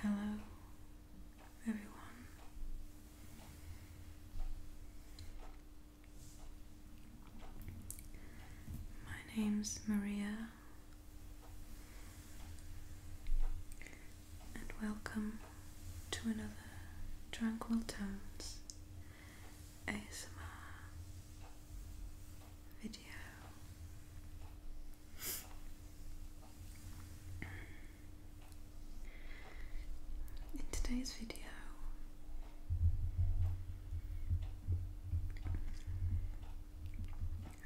Hello, everyone. My name's Maria, and welcome to another Tranquil Tones ASMR video. In today's video,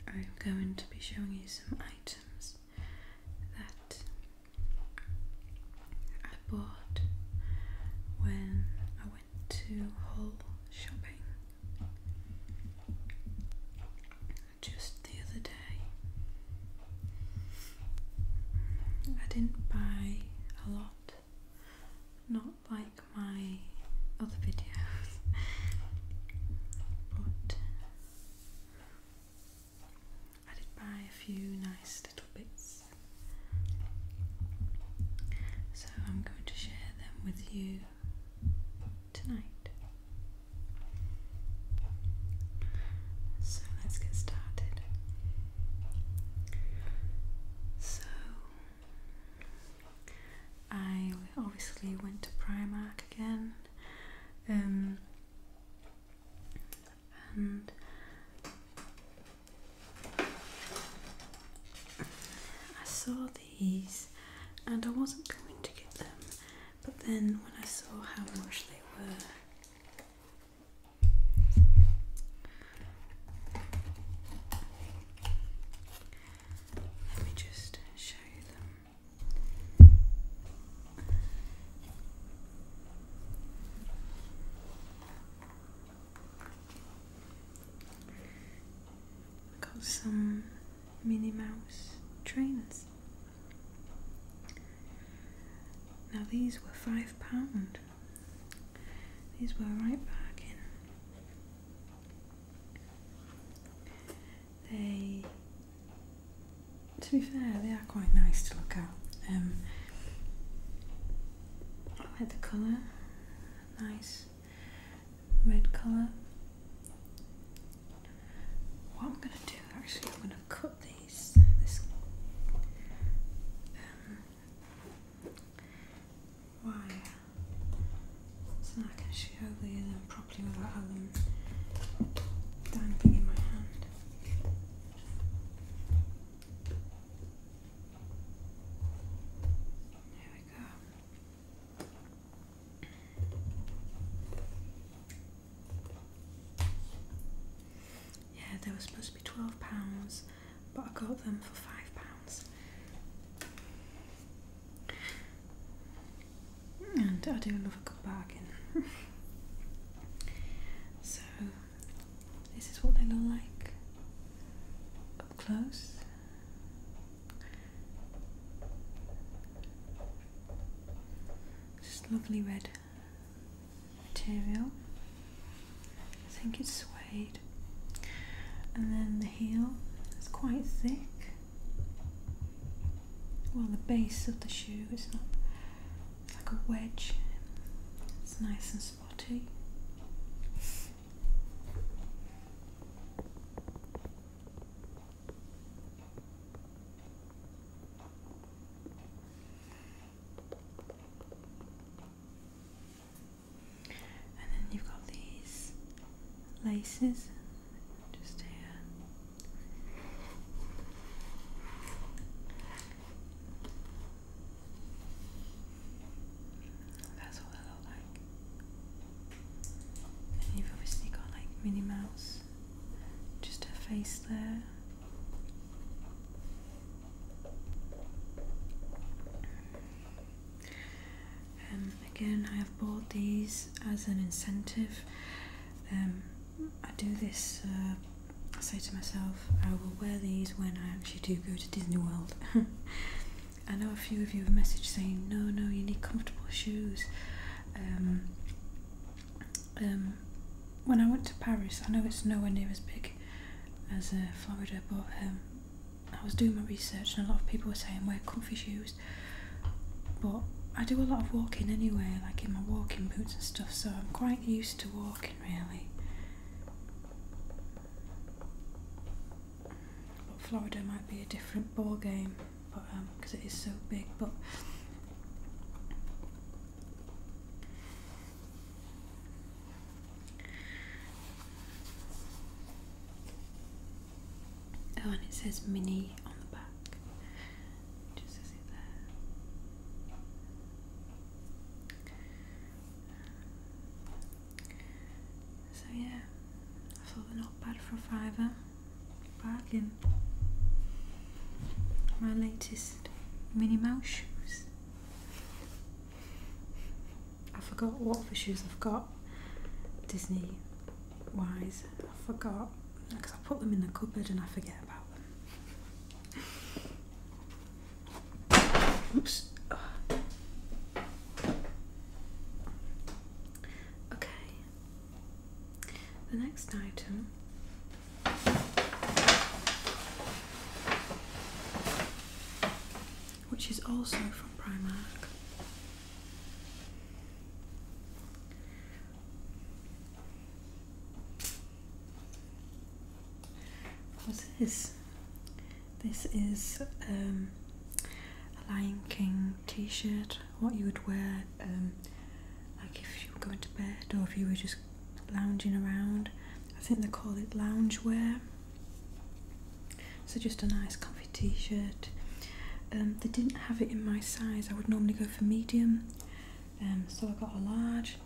I'm going to be showing you some items that I bought when I went to Hull shopping just the other day. I didn't buy a lot, not like my other videos, but I did buy a few nice little bits. So I'm going to share them with you tonight. So let's get started. So I obviously went to Primark again. Um, and I saw and I wasn't going to get them, but then when I saw how much they were, let me just show you them. Got some Minnie Mouse trainers. Now these were five pound. These were right back in. They, to be fair, they are quite nice to look at. Um, I like the colour, nice red color. What I'm gonna do actually, I'm gonna cut these. This wire um, so I can show you them properly without them dangling in my hand. There we go. Yeah, they were supposed to be twelve pounds, but I got them for five pounds. And I do love a good bargain. so this is what they look like up close. Just lovely red material. I think it's suede. And then the heel is quite thick. Well, the base of the shoe is not like a wedge. It's nice and spotty. And then you've got these laces just here. That's all and you've obviously got like Minnie Mouse just her face there um, again I have bought these as an incentive um, I do this uh, I say to myself I will wear these when I actually do go to Disney World I know a few of you have message saying, "No, no, you need comfortable shoes." Um, um, when I went to Paris, I know it's nowhere near as big as uh, Florida, but um, I was doing my research, and a lot of people were saying wear comfy shoes. But I do a lot of walking anyway, like in my walking boots and stuff, so I'm quite used to walking really but Florida might be a different ball game, but because um, it is so big. But oh, and it says mini on the back. Just says there. So yeah, I thought they're not bad for a fiver. Bargain. My latest Minnie Mouse shoes. I forgot what the shoes I've got. Disney wise, I forgot because I put them in the cupboard and I forget about them. Oops. Okay. The next item which is also from Primark What's this? This is um a Lion King t shirt, what you would wear, um, like if you were going to bed or if you were just lounging around. I think they call it lounge wear. So just a nice comfy t shirt. Um, they didn't have it in my size, I would normally go for medium, um, so I got a large.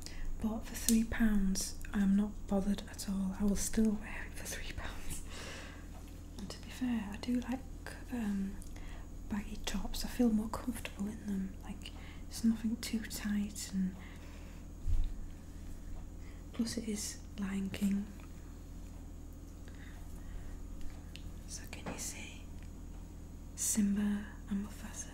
But for three pounds, I'm not bothered at all. I will still wear it for three pounds to be fair, I do like um, baggy tops. I feel more comfortable in them. Like it's nothing too tight, and plus it is Lion King. So can you see Simba and Mufasa?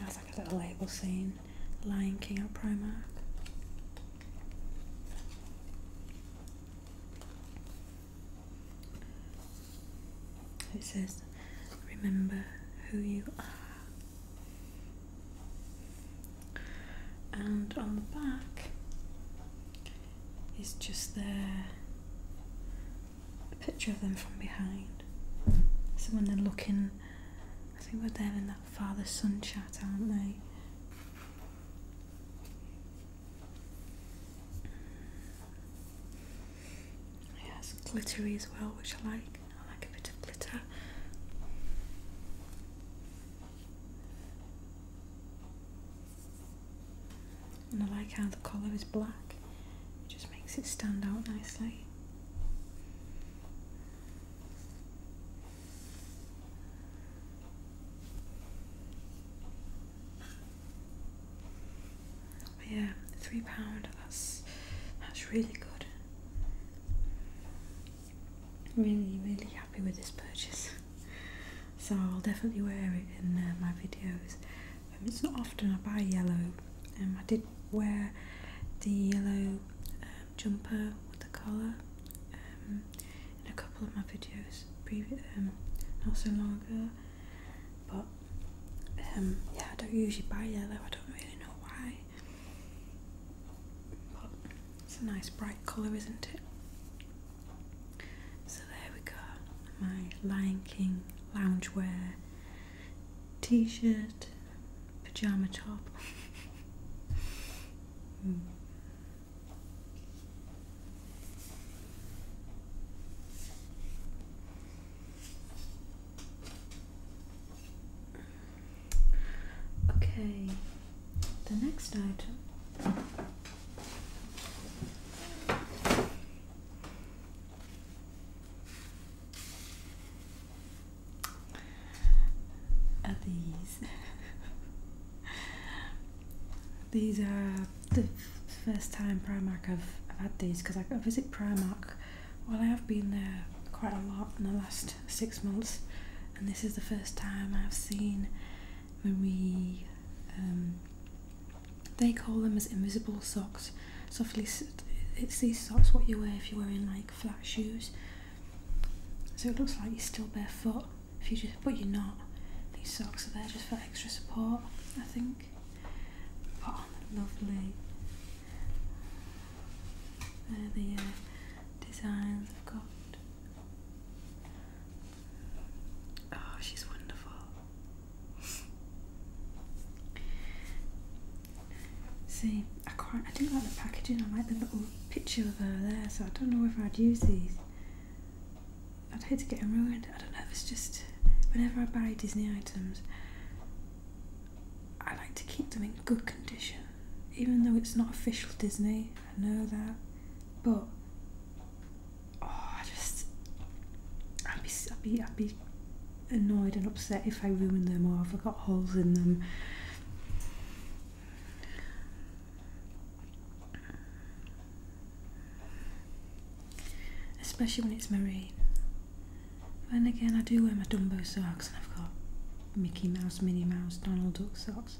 It's like a little label scene. Lion King at Primark. It says, remember who you are. And on the back it's just there a picture of them from behind. So when they're looking, I think we're there in that father son chat, aren't they? Yeah, glittery as well, which I like. I like a bit of glitter and I like how the collar is black, it just makes it stand out nicely. yeah, three pound. That's that's really good. I'm really, really happy with this purchase. So I'll definitely wear it in uh, my videos. Um, it's not often I buy yellow. Um, I did wear the yellow um, jumper with the collar um, in a couple of my videos previous, um, not so long ago. But um, yeah, I don't usually buy yellow. I don't really know why. But it's a nice bright colour, isn't it? So there we go, my Lion King wear t-shirt, pajama top. Hmm. Okay, the next item are these these are the first time Primark I've, had these because I, visit Primark well I have been there quite a lot in the last six months and this is the first time I've seen when we. Um, they call them as invisible socks. Softly, it's these socks what you wear if you're wearing like flat shoes. So it looks like you're still barefoot. If you just, but you're not. These socks are there just for extra support, I think. lovely. the uh, designs I've got. Oh, she's wonderful. See, I quite I do like the packaging. I like the little picture of her there, so I don't know if I'd use these. I'd hate to get them ruined. I don't know. if It's just whenever I buy Disney items, I like to keep them in good condition, even though it's not official Disney. I know that, but oh, I just I'd be I'd be I'd be annoyed and upset if I ruin them or if I've got holes in them. Especially when it's marine. And again, I do wear my Dumbo socks and I've got Mickey Mouse, Minnie Mouse, Donald Duck socks.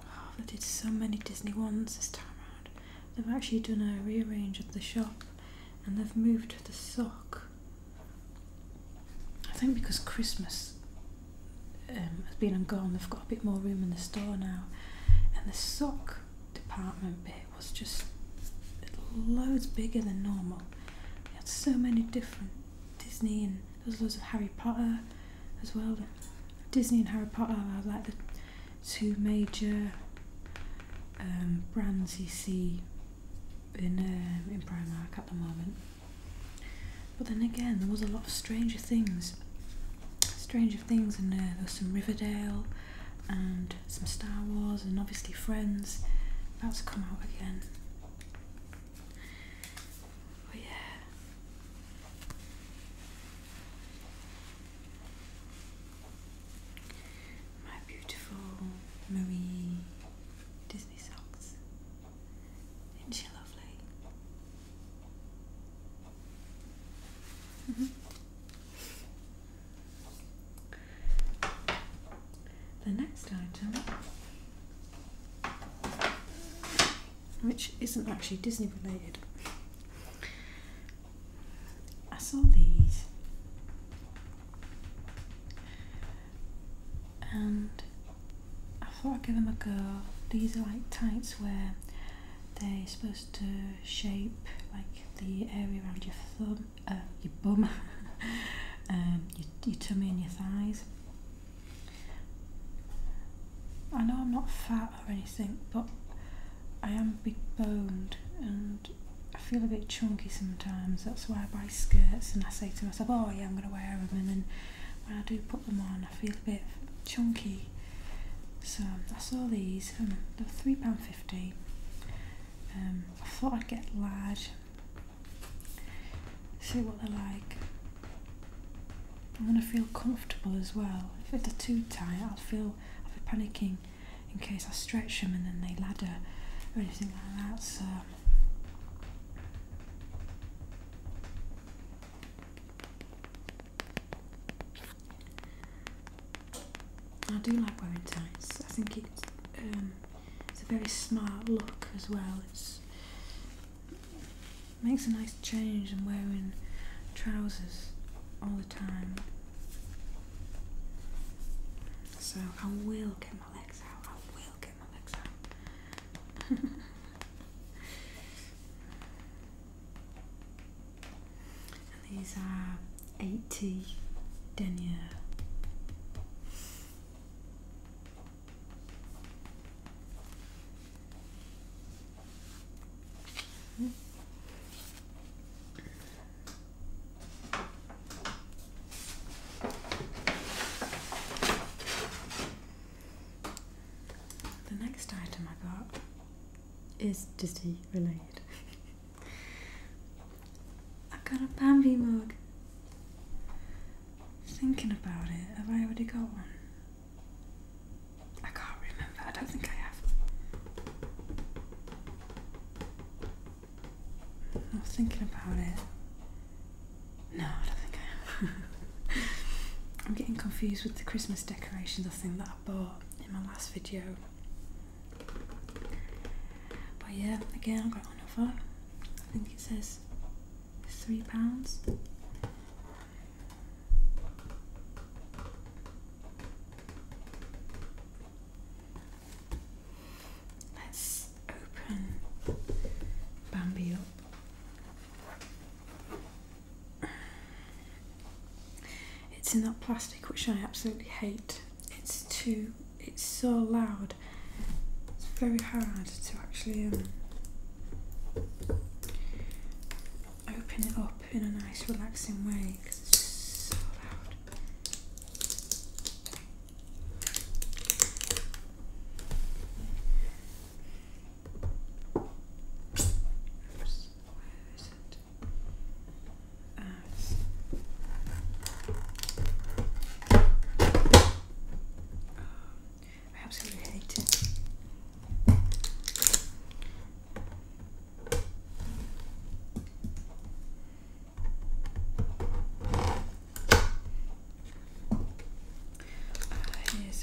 Oh, they did so many Disney ones this time round. They've actually done a rearrange of the shop and they've moved the sock. I think because Christmas um, has been and gone, they've got a bit more room in the store now. And the sock department bit was just loads bigger than normal. They had so many different Disney and there's loads of Harry Potter as well. Disney and Harry Potter are like the two major um, brands you see in um, in Primark at the moment. But then again, there was a lot of Stranger Things, Stranger Things, and uh, there was some Riverdale and some Star Wars, and obviously Friends. That's come out again. Oh yeah. My beautiful Marie Disney socks. Isn't she lovely? Mm -hmm the next item, which isn't actually Disney related. I saw these, and I thought I'd give them a go. These are like tights where they're supposed to shape like the area around your thumb, uh, your bum. um, your, your tummy and your thighs. I know I'm not fat or anything, but I am big boned and I feel a bit chunky sometimes. That's why I buy skirts and I say to myself, oh yeah, I'm going to wear them. And then when I do put them on, I feel a bit chunky. So I saw these, um, they're £3.50. Um, I thought I'd get large see what they're like. I want to feel comfortable as well. If they're too tight, I'll feel I'll be panicking in case I stretch them and then they ladder or anything like that. So. I do like wearing ties. I think it's. Um, it's a very smart look as well. it makes a nice change in wearing trousers all the time. So I will get my legs out. I will get my legs out. these are 80 denier. The next item I got is dizzy related. I got a Bambi mug. Thinking about it, have I already got one? I can't remember, I don't think I have. I'm thinking about it. No, I don't think I am. I'm getting confused with the Christmas decorations, I think, that I bought in my last video. But yeah, again, I've got one of them. I think it says three pounds. Let's open Bambi up. It's in that plastic which I absolutely hate. It's too it's so loud it's very hard to actually um, open it up in a nice relaxing way because it's so loud I absolutely hate it. Uh, here's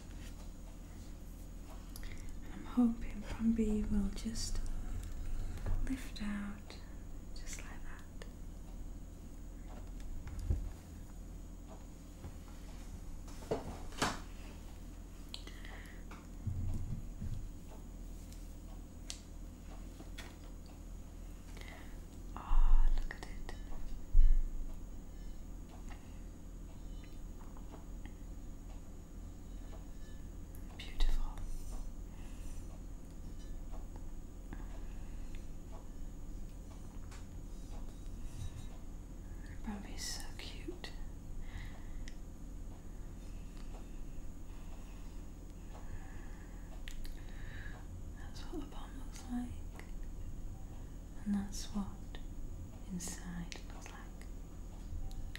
And I'm hoping from B will just lift out just like that. Oh, look at it. Beautiful. Probably so cute. That's what the bomb looks like, and that's what inside looks like.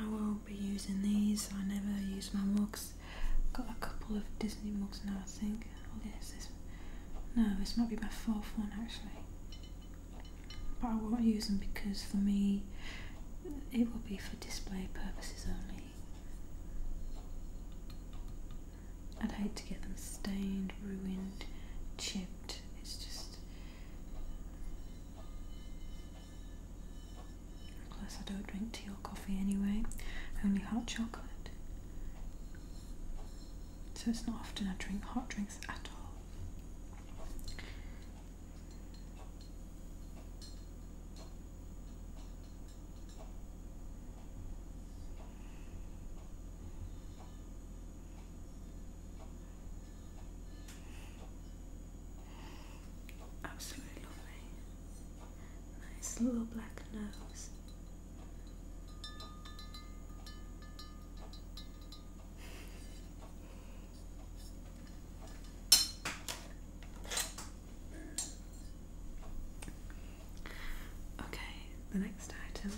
I will be using these. I never use my mugs. Got a couple of Disney mugs now, I think. Oh, yes, this. No, this might be my fourth one actually. But I won't use them because for me, it will be for display purposes only. I'd hate to get them stained, ruined, chipped. It's just. Plus, I don't drink tea or coffee anyway, only hot chocolate. So it's not often I drink hot drinks at all. Absolutely lovely. Nice little black nose. Okay, the next item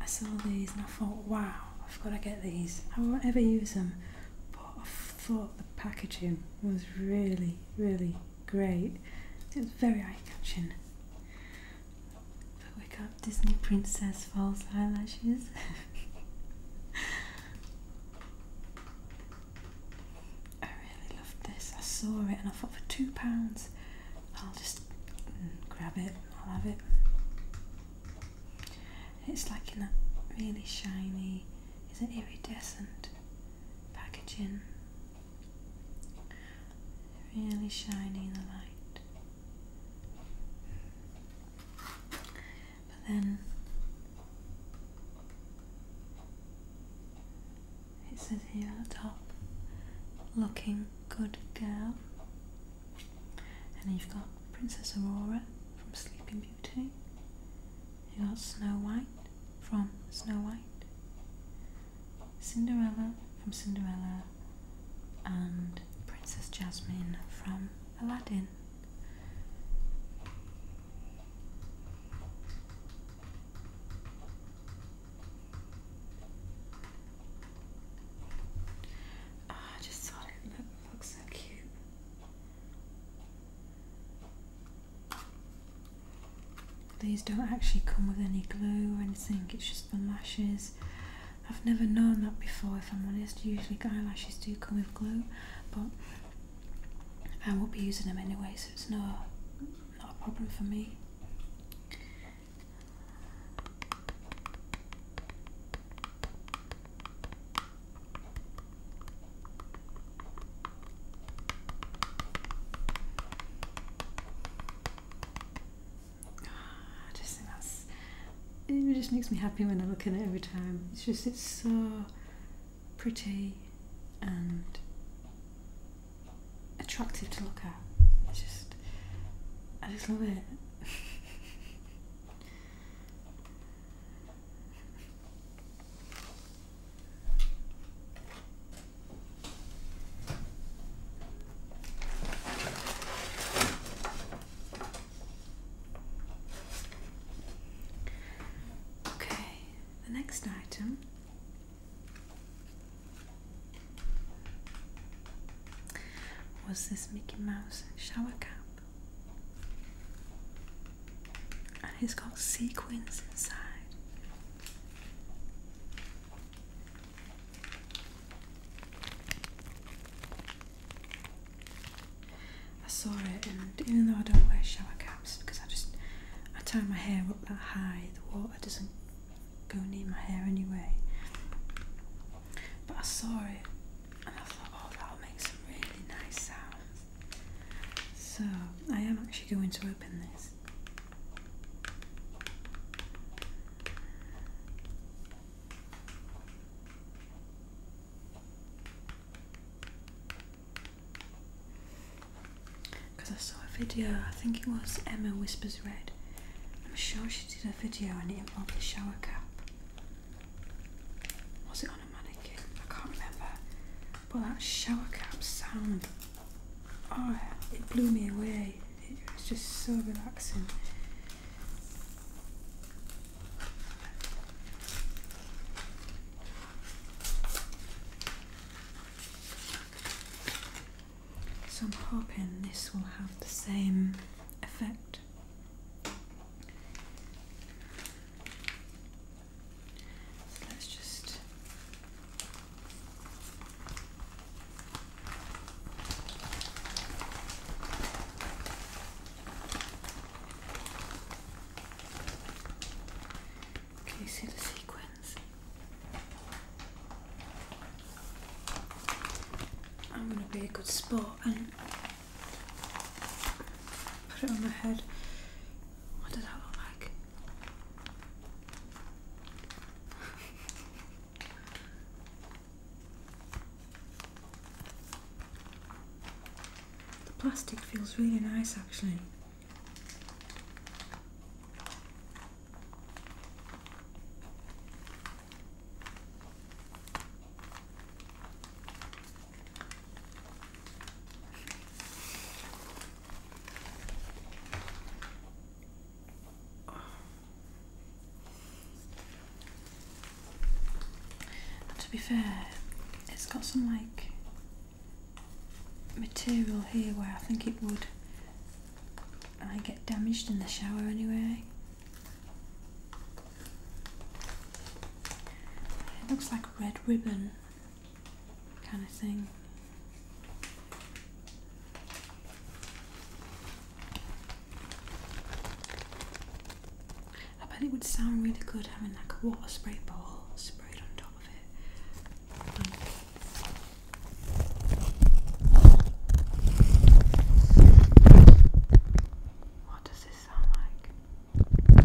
I saw these and I thought, wow, I've got to get these. I won't ever use them, but I thought the packaging was really, really great. It was very eye catching. But wake Disney Princess false eyelashes. I really loved this. I saw it and I thought for two pounds I'll just grab it, I'll have it. It's like in that really shiny, is it iridescent packaging? Really shiny in the light. But then it says here at the top looking good girl and you've got Princess Aurora from Sleeping Beauty. You have got Snow White from Snow White, Cinderella from Cinderella, and Princess Jasmine from Aladdin. Ah, I just thought it looked so cute. These don't actually come with any glue or anything, it's just the lashes. I've never known that before if I'm honest. Usually eyelashes do come with glue, but I won't be using them anyway, so it's no not a problem for me. Ah, I just think it just makes me happy when I look at it every time. It's just it's so pretty and attractive to look at. It's just I just love it okay, the next item was this Mickey Mouse shower cap, and it's got sequins inside. I saw it, and even though I don't wear shower caps because I just I tie my hair up that high, the water doesn't go near my hair anyway. But I saw it and I thought, oh, that'll make some really nice sounds. So I am actually going to open this. Because I saw a video, I think it was Emma Whispers Red. I'm sure she did a video on it the shower cap. Was it on a mannequin? I can't remember. But that shower cap sound, oh, it blew me away. It was just so relaxing. So I'm hoping this will have the same effect. So let's just see the sequence. I'm going to be a good sport and put it on my head. What does that look like? the plastic feels really nice actually to be fair, it's got some like material here where I think it would I uh, get damaged in the shower anyway. It looks like a red ribbon kind of thing. I bet it would sound really good having like a water spray bottle sprayed on top of it. Um, what does this sound like?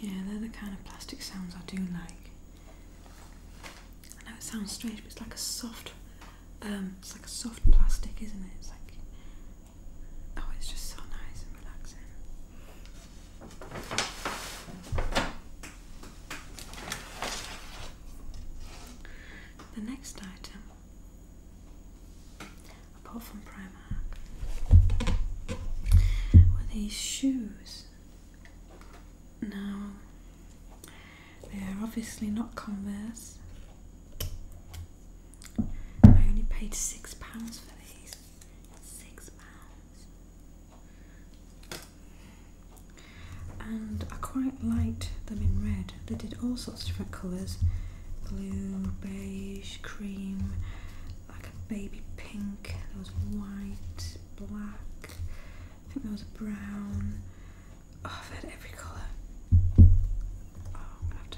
Yeah, they're the kind of plastic sounds I do like. I know it sounds strange, but it's like a soft, um, it's like a soft plastic, isn't it? It's like, oh, it's just so nice and relaxing. The next item, apart from Primark, were these shoes. Now, they are obviously not Converse. I only paid six pounds for these. Six pounds and I quite liked them in red. They did all sorts of different colours blue, beige, cream, like a baby pink, there was white, black, I think there was brown. Oh, I've had every colour. Oh, i have to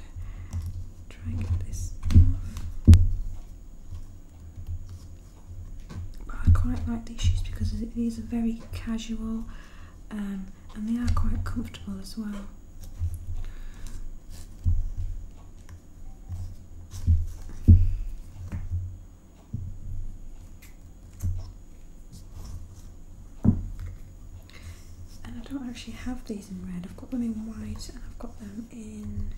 try and get this off. But I quite like these shoes because these are very casual um, and they are quite comfortable as well. And I don't actually have these in red, I've got them in white and I've got them in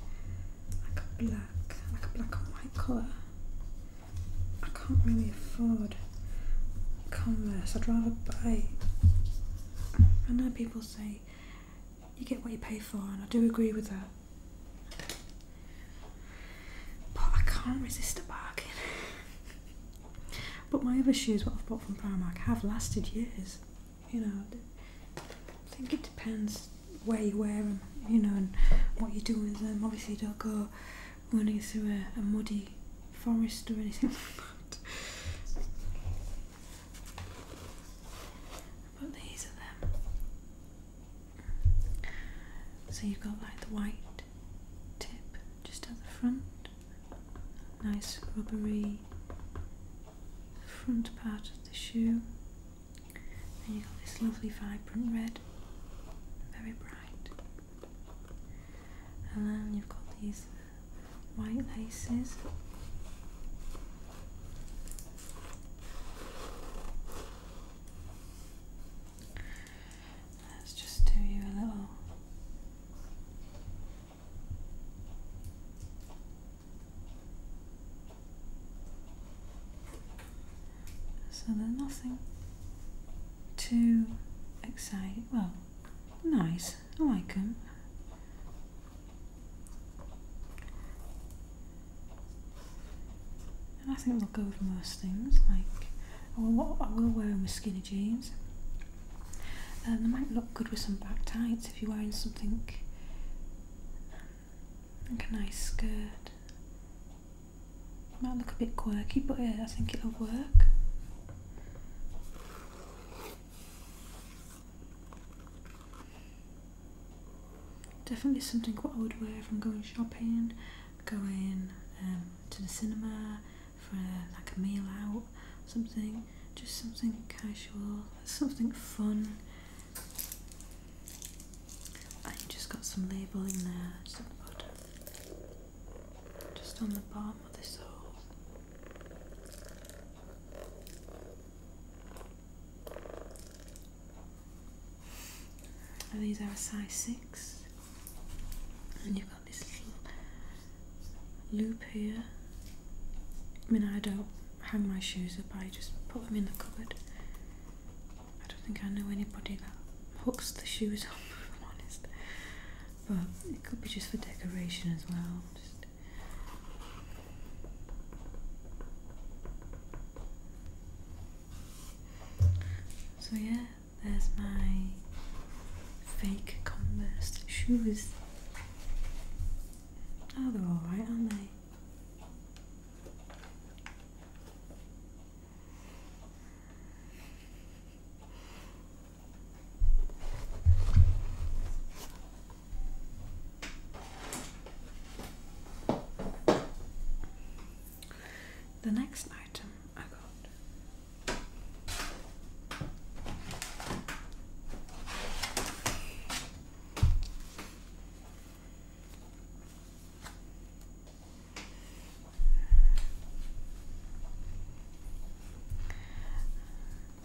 like a black, like a black and white colour. I can't really afford Converse. I'd rather buy. I know people say you get what you pay for, and I do agree with that. But I can't resist a bargain. but my other shoes, what I've bought from Primark, have lasted years. You know, I think it depends where you wear them, you know, and what you do with them. Obviously, you don't go running through a, muddy forest or anything like that. But these are them. So you've got like the white tip just at the front, nice rubbery front part of the shoe. And you got this lovely vibrant red, very bright. And then you've got these white laces. Let's just do you a little so there's nothing too exciting. Well, nice. I like them. And I think they'll go with most things. Like, I will, I will wear them with skinny jeans. Um, they might look good with some back tights if you're wearing something like a nice skirt might look a bit quirky, but yeah, I think it'll work. Definitely something what I would wear if I'm going shopping, going um, to the cinema for like a meal out, something, just something casual, something fun, I just got some labelling there, just on the bottom, just on the bottom of this hole. these are a size six, and you've got this little loop here. I mean, I don't hang my shoes up; I just put them in the cupboard. I don't think I know anybody that hooks the shoes up, if I'm honest. But it could be just for decoration as well. so yeah, there's my fake Converse shoes. Oh, they're alright, aren't they? The next item I got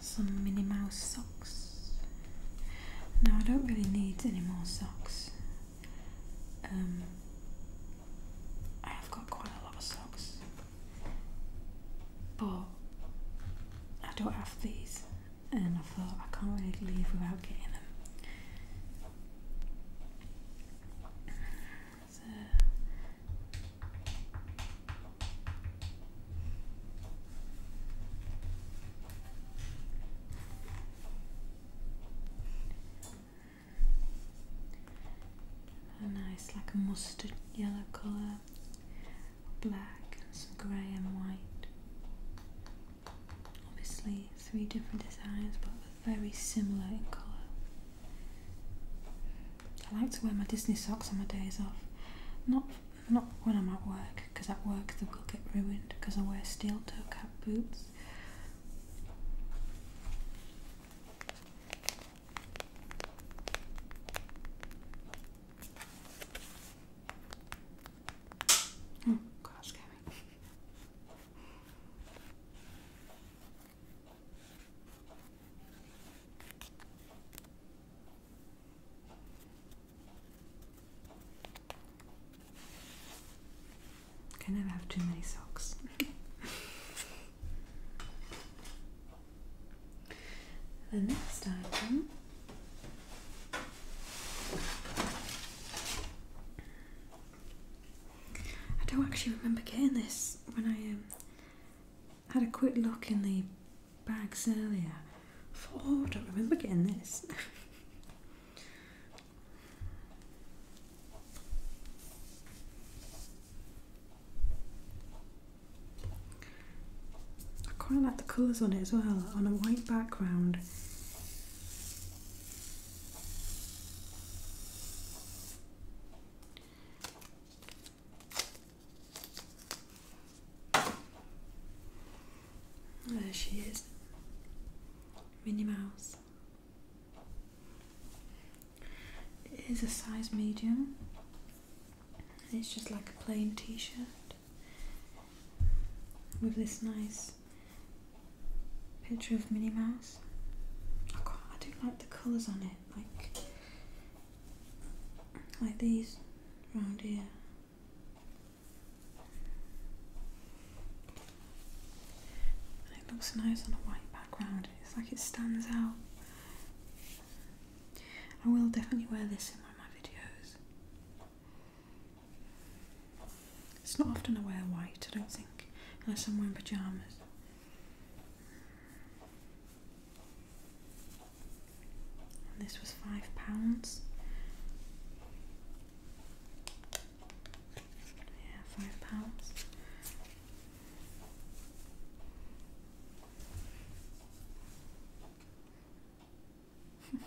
some Minnie Mouse socks. No, I don't really need any more socks. Um, I have got quite a lot of socks, but I don't have these, and I thought I can't really leave without getting them. So. A nice, like a mustard yellow colour, black, and some grey and white obviously three different designs but very similar in colour. I like to wear my Disney socks on my days off, not not when I'm at work because at work they will get ruined because I wear steel toe cap boots. Oh, gosh, Kevin. Can never have too many socks. the next item I don't actually remember getting this when I um, had a quick look in the bags earlier. I thought, oh, I don't remember getting this. I quite like the colours on it as well, on a white background. There she is, Minnie Mouse. It is a size medium, it's just like a plain t shirt with this nice picture of Minnie Mouse. Oh God, I do like the colours on it, like like these round here. it looks nice on a white background. It's like it stands out. I will definitely wear this in one of my videos. It's not often I wear white, I don't think, unless I'm wearing pyjamas. this was five pounds. Yeah, five pounds.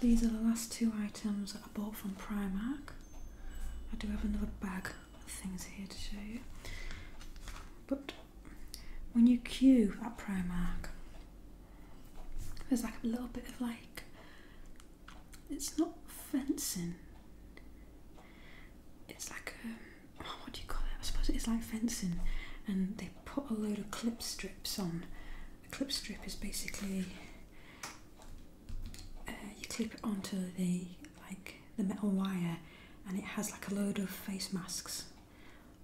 These are the last two items that I bought from Primark. I do have another bag of things here to show you. But when you queue at Primark, there's like a little bit of like, it's not fencing. It's like a, um, what do you call it? I suppose it's like fencing. And they put a load of clip strips on. A clip strip is basically uh, you clip it onto the like the metal wire, and it has like a load of face masks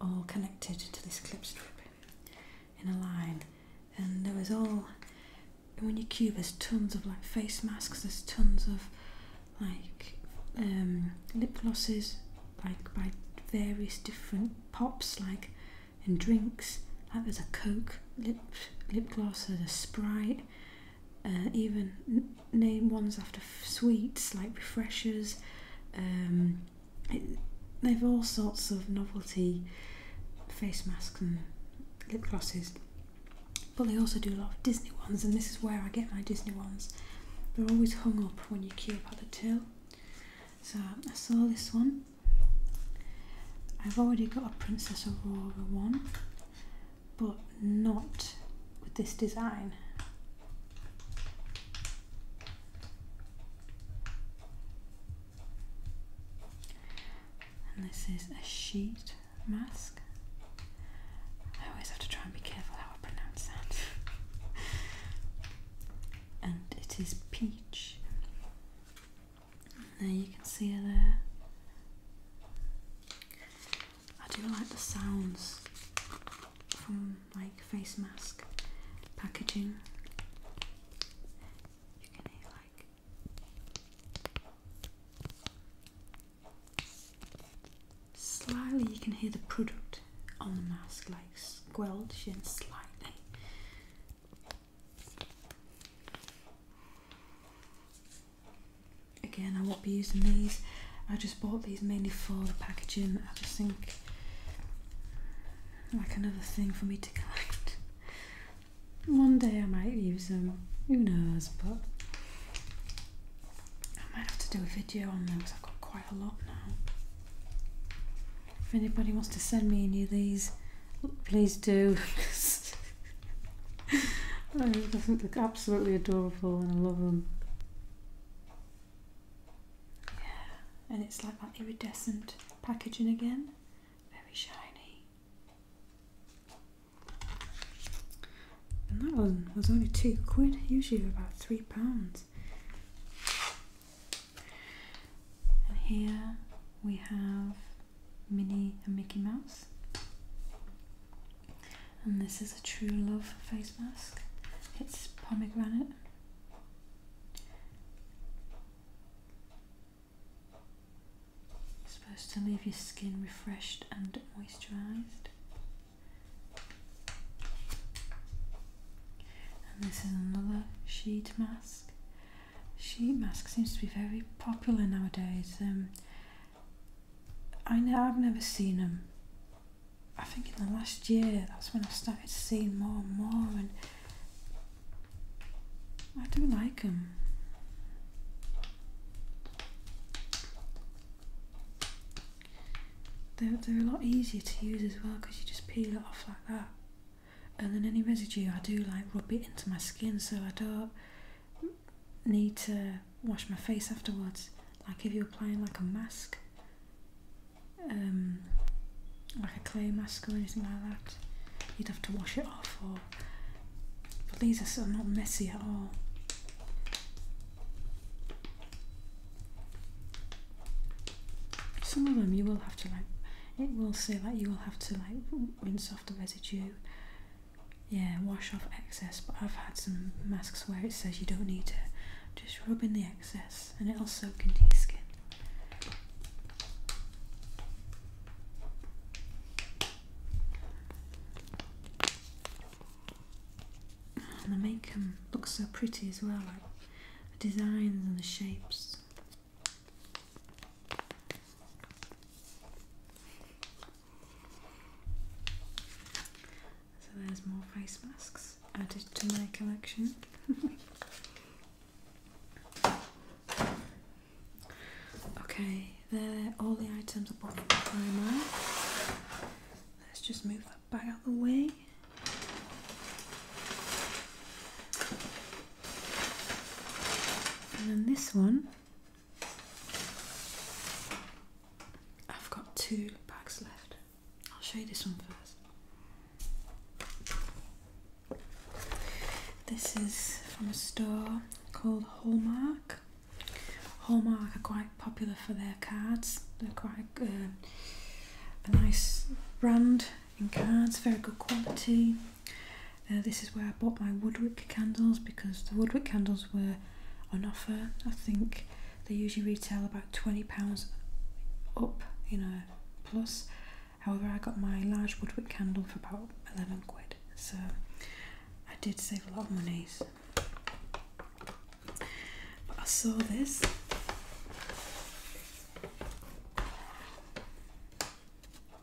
all connected to this clip strip in a line. And there was all when you cube, there's tons of like face masks. There's tons of like um, lip glosses, like by various different pops, like and drinks. Like there's a Coke lip lip gloss, there's a Sprite. Uh, even name ones after sweets like refreshers. Um, they've all sorts of novelty face masks and lip glosses. But they also do a lot of Disney ones, and this is where I get my Disney ones. They're always hung up when you queue up at the till. So I saw this one I've already got a Princess Aurora one, but not with this design. And this is a sheet mask. I always have to try and be careful how I pronounce that. and it is peach. There you can see it there. I do like the sounds from like face mask packaging. You slightly you can hear the product on the mask like squelching slightly Again, I won't be using these. I just bought these mainly for the packaging. I just think like another thing for me to collect. One day I might use them. Who knows? But I might have to do a video on them because I've got quite a lot now. If anybody wants to send me any of these, Please do. oh, it doesn't look absolutely adorable and I love them. Yeah, and it's like that iridescent packaging again. Very shiny. And that one was only two quid, usually about three pounds. And here we have Minnie and Mickey Mouse. And this is a True Love face mask. It's pomegranate. It's supposed to leave your skin refreshed and moisturised. And this is another sheet mask sheet mask seems to be very popular nowadays. Um, I know I've never seen them. I think in the last year that's when I started seeing more and more, and I do like them. they they're a lot easier to use as well because you just peel it off like that and then any residue I do like rub it into my skin so I don't need to wash my face afterwards like if you're applying like a mask um, like a clay mask or anything like that you'd have to wash it off or but these are so not messy at all some of them you will have to like it will say like you will have to like rinse off the residue. Yeah, wash off excess. But I've had some masks where it says you don't need to. Just rub in the excess and it'll soak into your skin. And they make them look so pretty as well, like the designs and the shapes. So there's more face masks added to my collection. okay, there all the items I bought from Primark. Let's just move that bag out of the way. And then this one, I've got two bags left. I'll show you this one first. This is from a store called Hallmark. Hallmark are quite popular for their cards. They're quite um, a nice brand in cards, very good quality. Uh, this is where I bought my Woodwick candles because the Woodwick candles were on offer. I think they usually retail about £20 up, you know, plus. However, I got my large Woodwick candle for about 11 quid, so I did save a lot of money. But I saw this.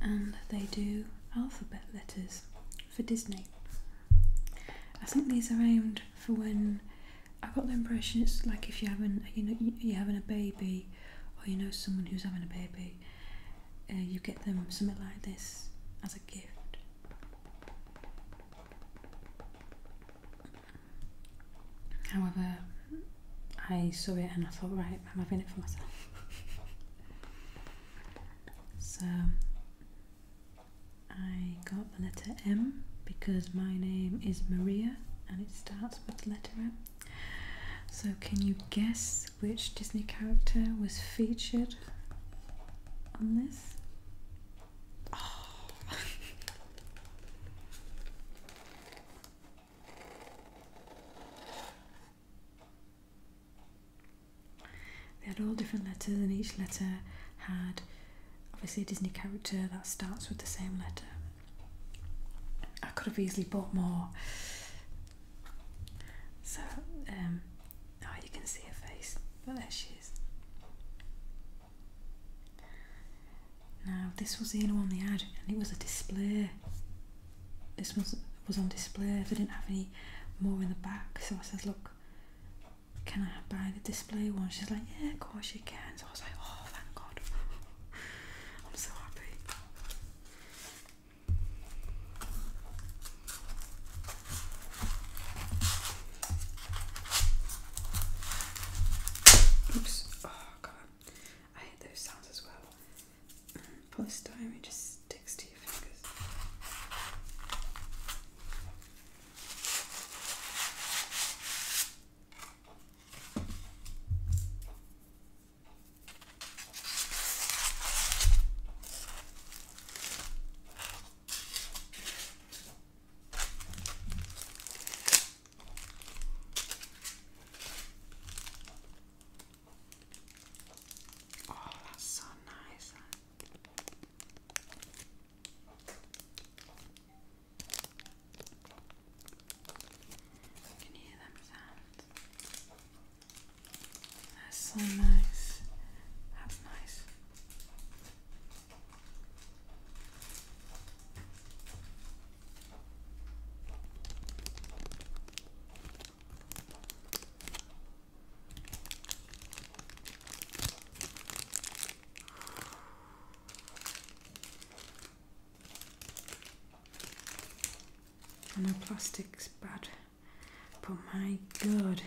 and they do alphabet letters for Disney. I think these are aimed for when I got the impression it's like if you haven't you know you're having a baby or you know someone who's having a baby, uh, you get them something like this as a gift. However, I saw it and I thought, right, I'm having it for myself. so I got the letter M because my name is Maria and it starts with the letter M. So, can you guess which Disney character was featured on this? Oh. They had all different letters, and each letter had obviously a Disney character that starts with the same letter. I could have easily bought more. So, um, oh, you can see her face, but there she is. Now this was the only one they had and it was a display. This was was on display. They didn't have any more in the back, so I says, Look, can I buy the display one? She's like, Yeah, of course you can. So I was like, Oh thank God. I'm so happy. Oops. Oh god. I hate those sounds as well. Mm, polystyrene just sticks to your fingers. Oh, that's so nice. Can hear them sound? That's so nice. That's nice. I know plastic's bad, but my god,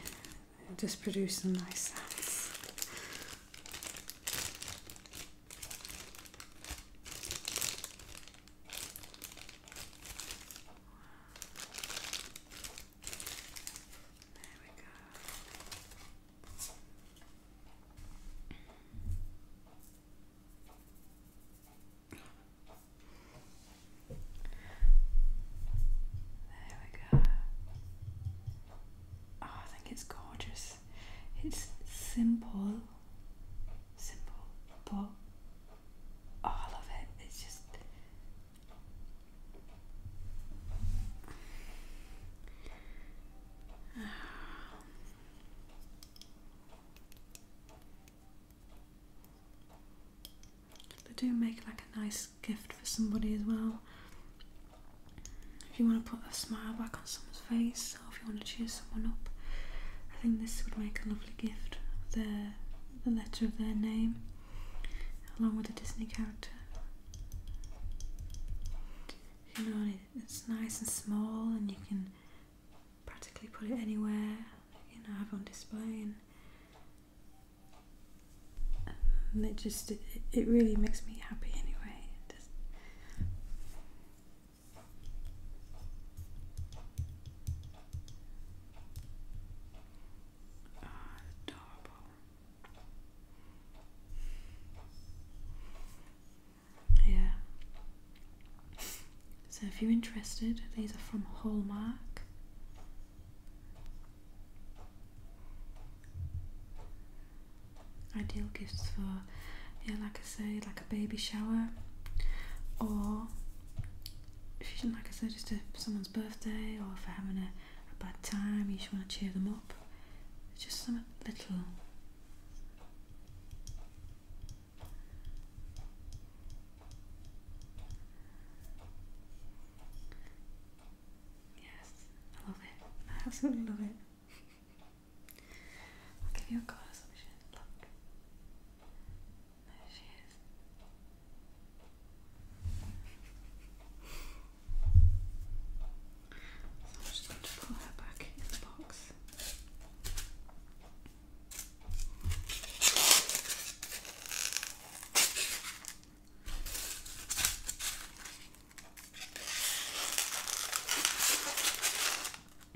it does produce some nice sounds. There we go. There we go. Oh, I think it's gorgeous it's simple, simple, but all of it is just they do make like a nice gift for somebody as well if you want to put a smile back on someone's face or if you want to cheer someone up, I think this would make a lovely gift. The, the letter of their name, along with a Disney character. You know, it's nice and small, and you can practically put it anywhere. You know, have on display, and, it just it, really makes me happy anyway adorable. Yeah. So if you're interested, these are from Hallmark. Ideal gifts for, yeah, like I say, like a baby shower, or if you like I said, just a, someone's birthday, or if they're having a, bad time, you just want to cheer them up. just some little. Yes, I love it. I absolutely love it. I'll give you a colour assumption. Look. There she is. So I'm just going to put her back in the box.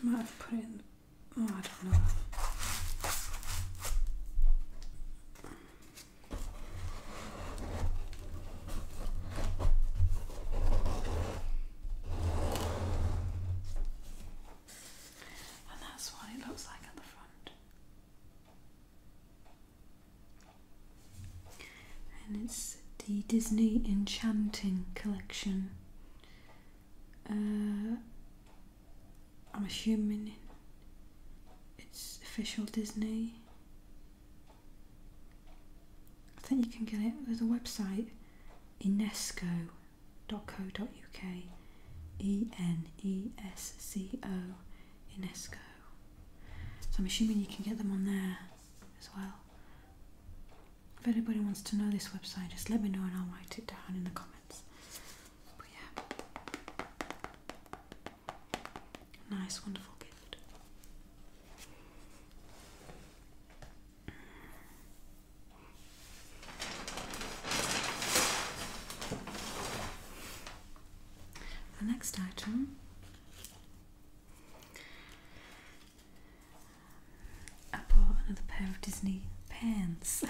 I might have put in, oh, I don't know. And that's what it looks like at the front and it's the Disney Enchanting collection. Uh, I'm assuming it's official Disney. I think you can get it. There's a website, UNESCO.co.uk. E N E S C O UNESCO. So I'm assuming you can get them on there as well. If anybody wants to know this website, just let me know and I'll write it down in the comments. But yeah, nice, wonderful gift. The next item I bought another pair of Disney pants.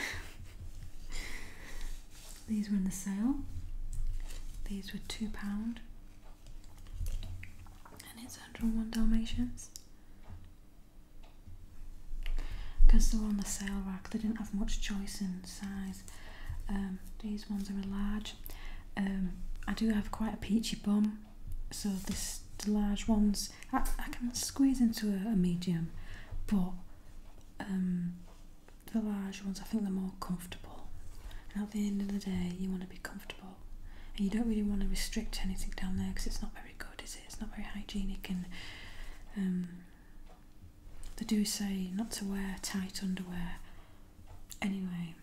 These were in the sale. These were £2 and it's One Dalmatians. Because they were on the sale rack, they didn't have much choice in size, um, these ones are a large. Um, I do have quite a peachy bum, so this the large ones I, can squeeze into a, medium, but um, the large ones I think they're more comfortable. at the end of the day, you want to be comfortable, and you don't really want to restrict anything down there because it's not very good, is it? It's not very hygienic and they do say not to wear tight underwear anyway,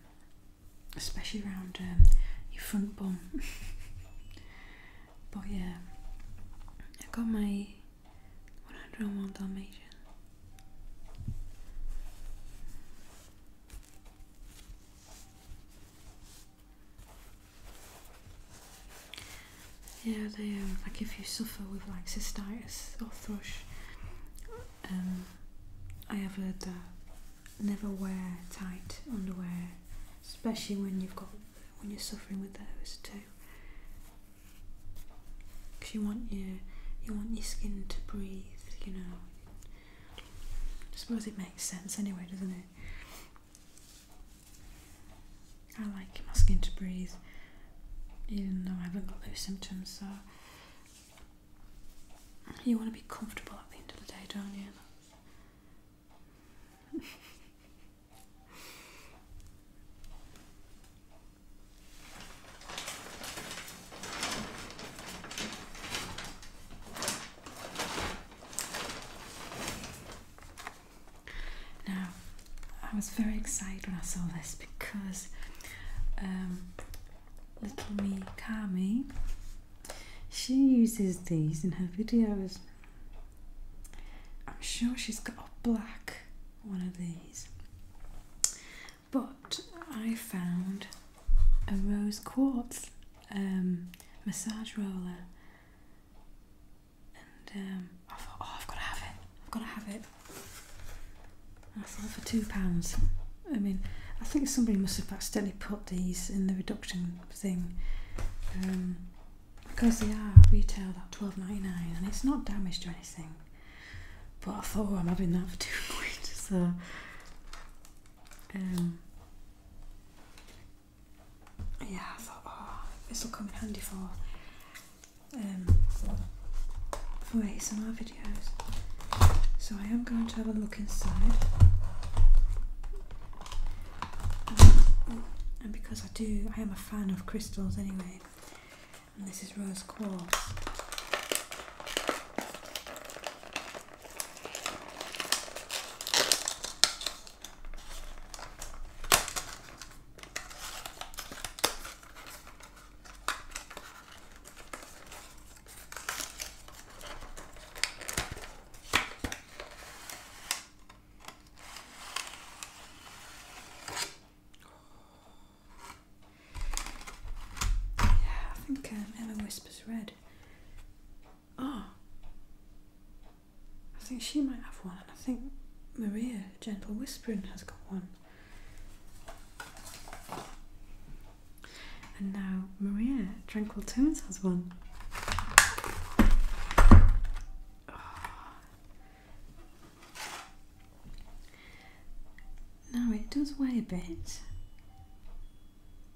especially around um, your front bum. but yeah, I got my 101 Dalmatian. Yeah, they um, like if you suffer with like cystitis or thrush, um, I have heard that never wear tight underwear, especially when you've got when you're suffering with those too, because you want your you want your skin to breathe. You know, I suppose it makes sense anyway, doesn't it? I like my skin to breathe, even though I haven't got those symptoms, so you want to be comfortable at the end of the day, don't you? Now, I was very excited when I saw this because um, little me Kami she uses these in her videos. I'm sure she's got a black one of these, but I found a rose quartz um, massage roller, and um, I thought, oh, I've got to have it. I've got to have it. And I thought for two pounds. I mean, I think somebody must have accidentally put these in the reduction thing um, because they are retail at twelve ninety nine, and it's not damaged or anything. But I thought, oh, I'm having that for two quid, so. Um, yeah, I thought, oh, this will come in handy for for um, for ASMR videos. So I am going to have a look inside. Um, and because I do, I am a fan of crystals anyway. And this is rose quartz. I think um, Emma Whispers Red. Ah, I think she might have one, and I think Maria Gentle Whispering has got one. And now Maria Tranquil Tunes has one. Ah. Now it does weigh a bit.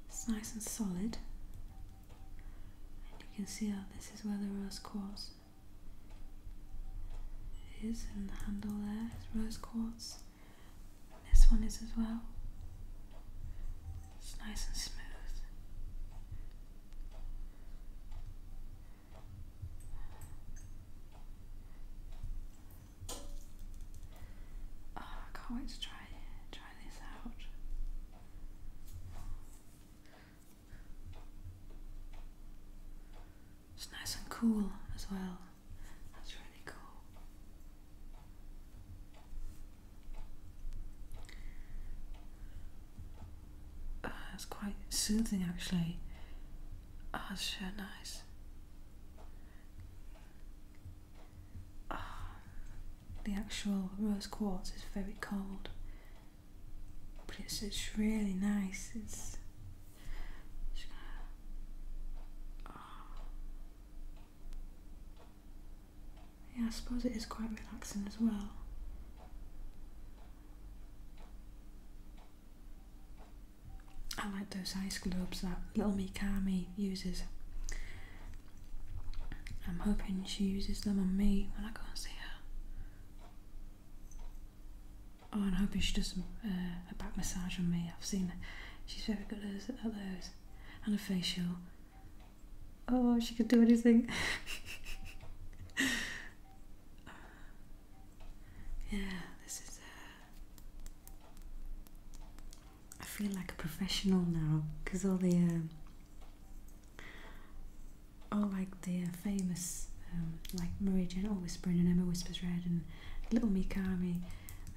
It's nice and solid. And you can see how this is where the rose quartz is in the handle there is rose quartz. This one is as well. It's nice and smooth. Oh, I can't wait to try try this out. It's nice and cool as well. That's really cool. That's uh, quite soothing actually. Oh, it's sure nice. Oh, the actual rose quartz is very cold, but it's, it's really nice. It's uh, yeah, I suppose it is quite relaxing as well. I like those ice globes that little Me Mikami uses. I'm hoping she uses them on me when I go and see her. Oh, I'm hoping she does uh, a back massage on me. I've seen She's very good at those. And a facial. Oh, she could do anything. yeah, this is. Uh, I feel like a professional now because all the. Um, all like the famous, um, like Marie Jane, all whispering and Emma whispers red and Little Mikami,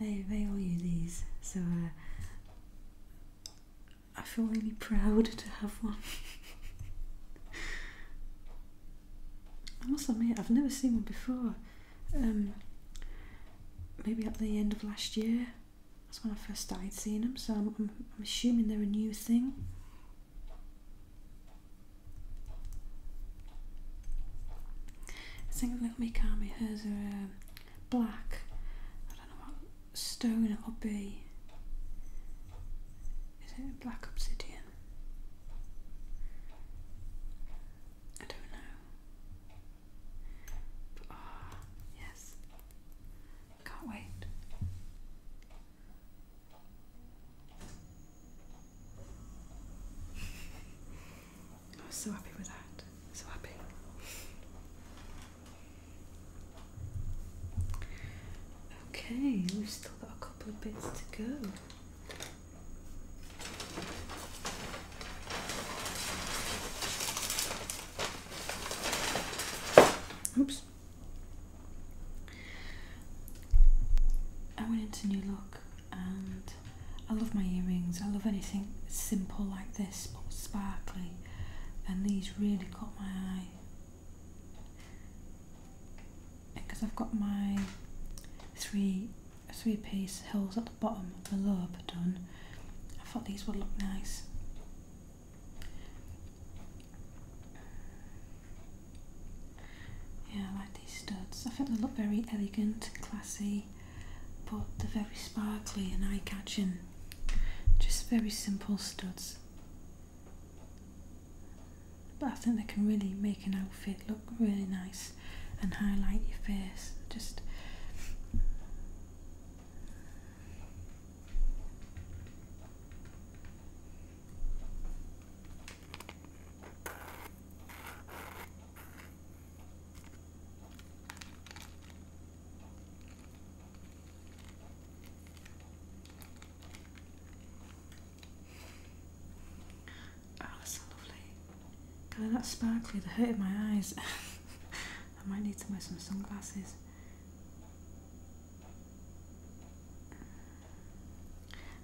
they, they all use these. So uh, I feel really proud to have one. I must admit, I've never seen one before. Um, maybe at the end of last year, that's when I first started seeing them. So I'm, I'm assuming they're a new thing. I think Little Mikami, hers are uh, black. I don't know what stone it will be. Is it a black obsidian? I don't know. But, ah, yes. Can't wait. I was so happy with that. So happy. Okay, we've still got a couple of bits to go. Oops. I went into New Look and I love my earrings. I love anything simple like this but sparkly, and these really caught my eye because I've got my three three piece holes at the bottom of the lobe done. I thought these would look nice. Yeah, I like these studs. I think they look very elegant, classy, but they're very sparkly and eye catching. Just very simple studs. But I think they can really make an outfit look really nice and highlight your face. Just Oh, that's so lovely. God, that's sparkly. They're hurting my eyes. I might need to wear some sunglasses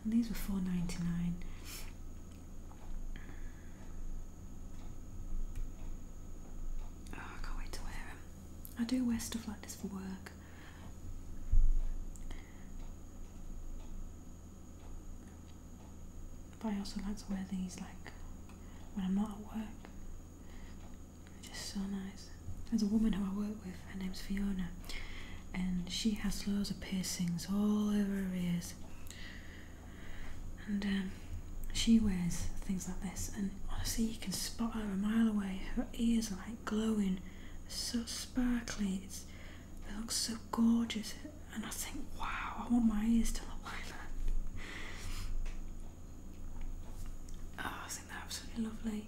these were four ninety nine. Oh, ah, I can't wait to wear them. I do wear stuff like this for work. But I also like to wear these like when I'm not at work. They're just so nice. There's a woman who I work with, her name's Fiona, and she has loads of piercings all over her ears. And um, she wears things like this, and honestly, you can spot her a mile away. Her ears are like glowing, so sparkly. It's they look so gorgeous, and I think, wow, I want my ears to look like that. Oh, I think they're absolutely lovely,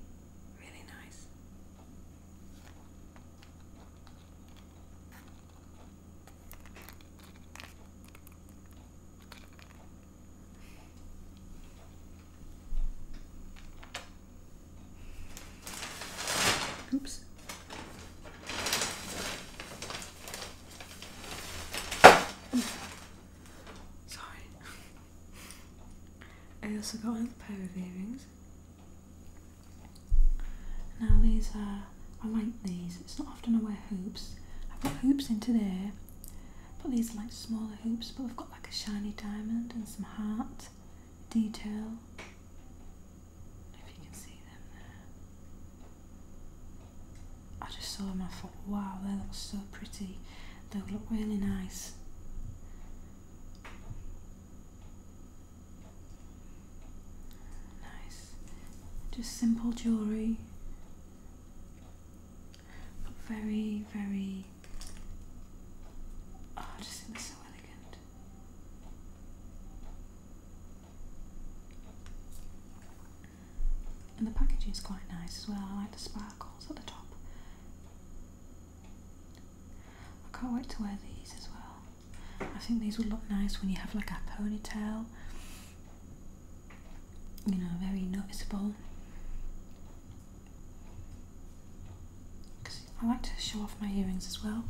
really nice. Oops. Sorry. I also got another pair of earrings. Now these are, I like these, it's not often I wear hoops. I've got hoops into there. but these are like smaller hoops, but I've got like a shiny diamond and some heart detail. If you can see them I just saw them I thought, wow, they look so pretty. They look really nice. Nice. Just simple jewellery. But very, very. Ah, oh, just think so elegant. And the packaging is quite nice as well. I like the sparkles at the top. I can't wait to wear these as well. I think these would look nice when you have like a ponytail, you know, very noticeable. Because I like to show off my earrings as well.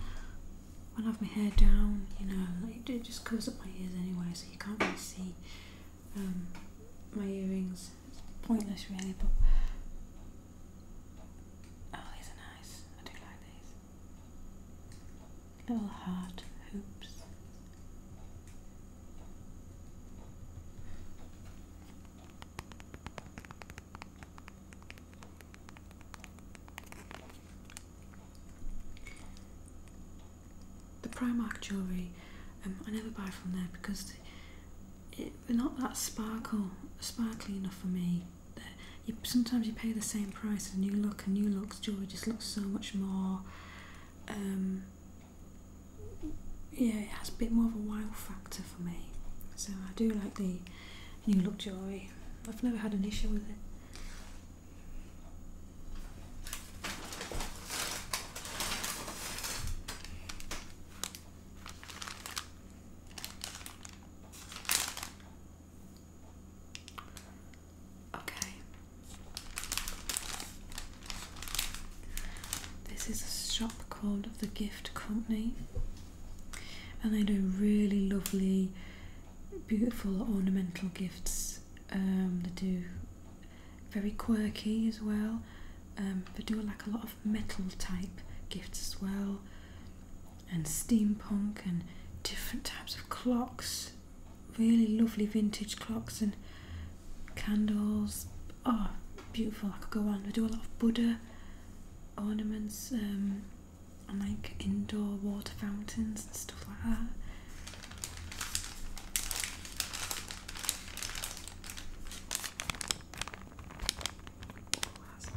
When I have my hair down, you know, it just covers up my ears anyway, so you can't really see um, my earrings. It's pointless, really, but. Oh, these are nice. I do like these little heart hoops. The Primark jewellery, um, I never buy from there because it, they're not that sparkle, sparkly enough for me you, sometimes you pay the same price as new look and new looks jewelry just looks so much more um, yeah it has a bit more of a wow factor for me so I do like the new look jewelry I've never had an issue with it Okay. This is a shop called The Gift Company, and they do really lovely, beautiful ornamental gifts. Um, they do very quirky as well. Um, they do like a lot of metal type gifts as well and steampunk and different types of clocks, really lovely vintage clocks and candles. Oh, beautiful! I could go on. I do a lot of Buddha ornaments um, and like indoor water fountains and stuff like that the last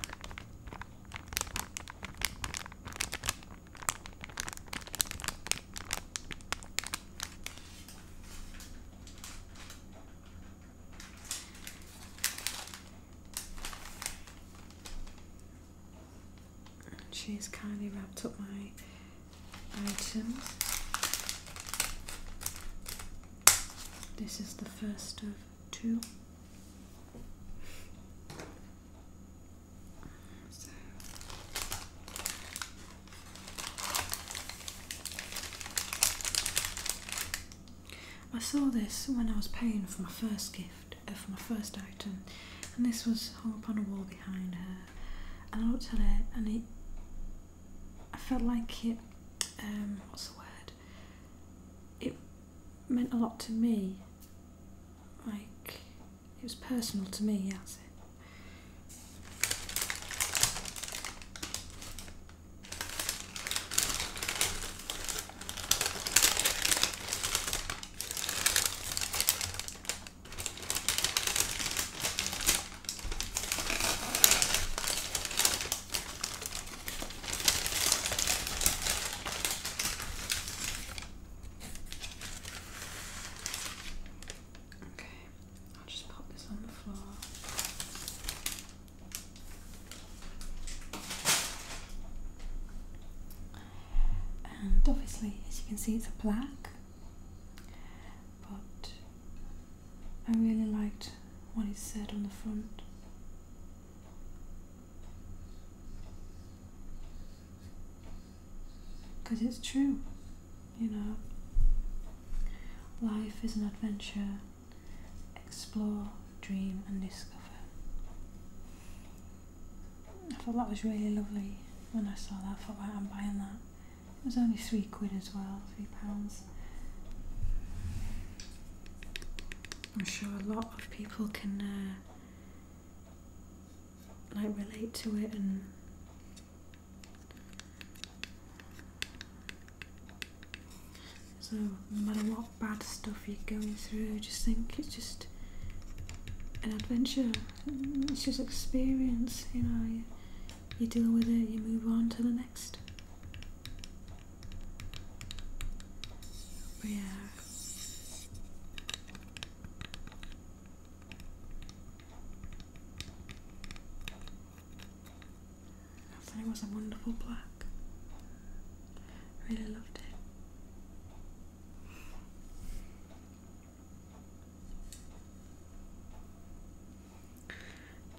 kindly wrapped up my items. This is the first of two. I saw this when I was paying for my first gift, uh, for my first item, and this was hung up on a wall behind her. And I looked at it, and it, I felt like it, um, what's the word? It meant a lot to me, like it was personal to me, that's it. Okay, I'll just pop this on the floor. And obviously, as you can see, it's a plaque. but I really liked what it said on the front. Because it's true, you know. Life is an adventure. Explore, dream, and discover. I thought that was really lovely when I saw that. I thought, right, I'm buying that. It was only three quid as well, three pounds. I'm sure a lot of people can uh, like relate to it and so no matter what bad stuff you're going through just think it's just an adventure it's just experience you know you, deal with it you move on to the next yeah that was a wonderful black. really loved it.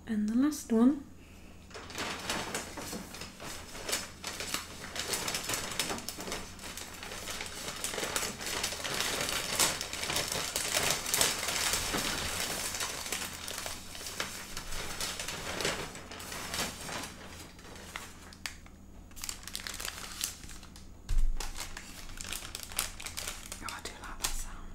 And the last one Oh, I do like that sound.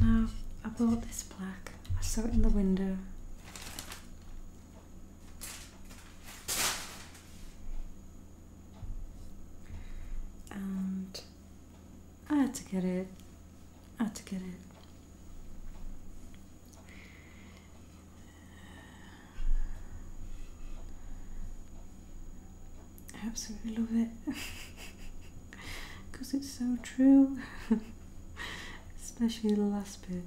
Now, I bought this plaque. I saw it in the window. I had to get it. I had to get it. I absolutely love it because it's so true, especially the last bit.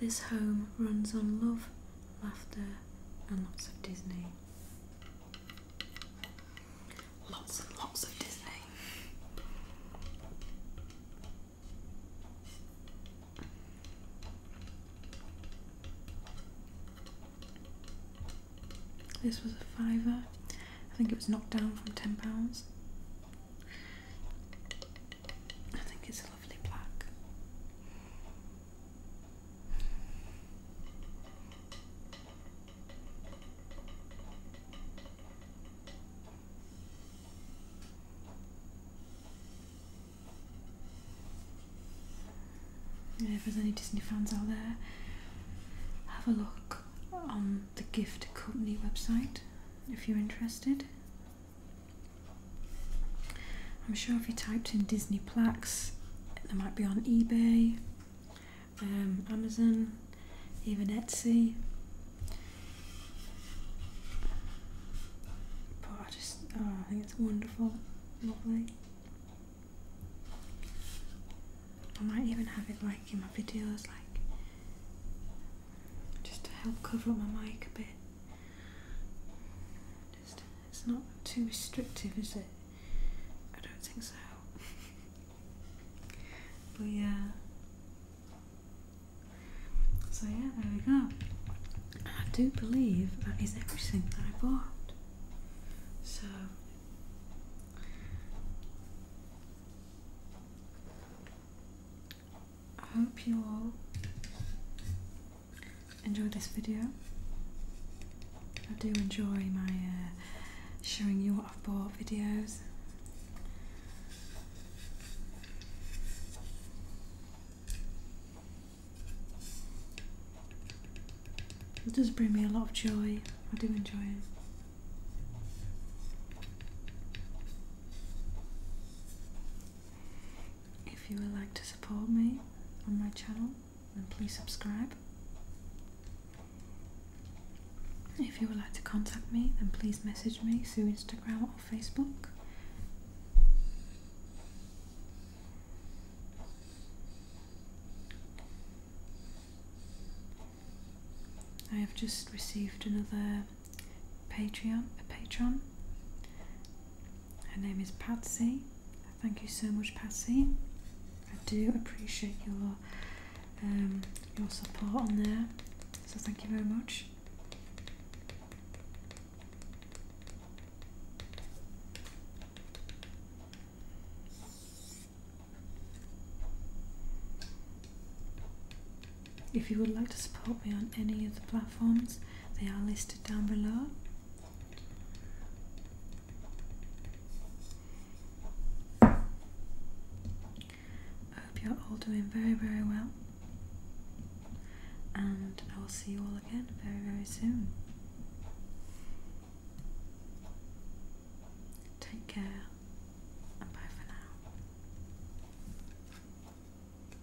This home runs on love, laughter, and lots of Disney. Lots and lots of Disney. This was a fiver. I think it was knocked down from £10. I think it's a lovely black. if there's any Disney fans out there, have a look on the Gift Company website if you're interested. I'm sure if you typed in Disney plaques, they might be on eBay, um, Amazon, even Etsy. But I just, oh, I think it's wonderful, lovely. I might even have it like in my videos, like just to help cover up my mic a bit. Just, it's not too restrictive, is it? I don't think so. but yeah. So yeah, there we go. I do believe that is everything that I bought. So. I hope you all enjoy this video. I do enjoy my uh, showing you what I've bought videos. It does bring me a lot of joy. I do enjoy it. If you would like to support me on my channel, then please subscribe. If you would like to contact me, then please message me through Instagram or Facebook. I have just received another Patreon, a patron. Her name is Patsy. Thank you so much, Patsy. I do appreciate your um, your support on there. So thank you very much. If you would like to support me on any of the platforms, they are listed down below. I hope you're all doing very, very well, and I will see you all again very, very soon. Take care and bye for now.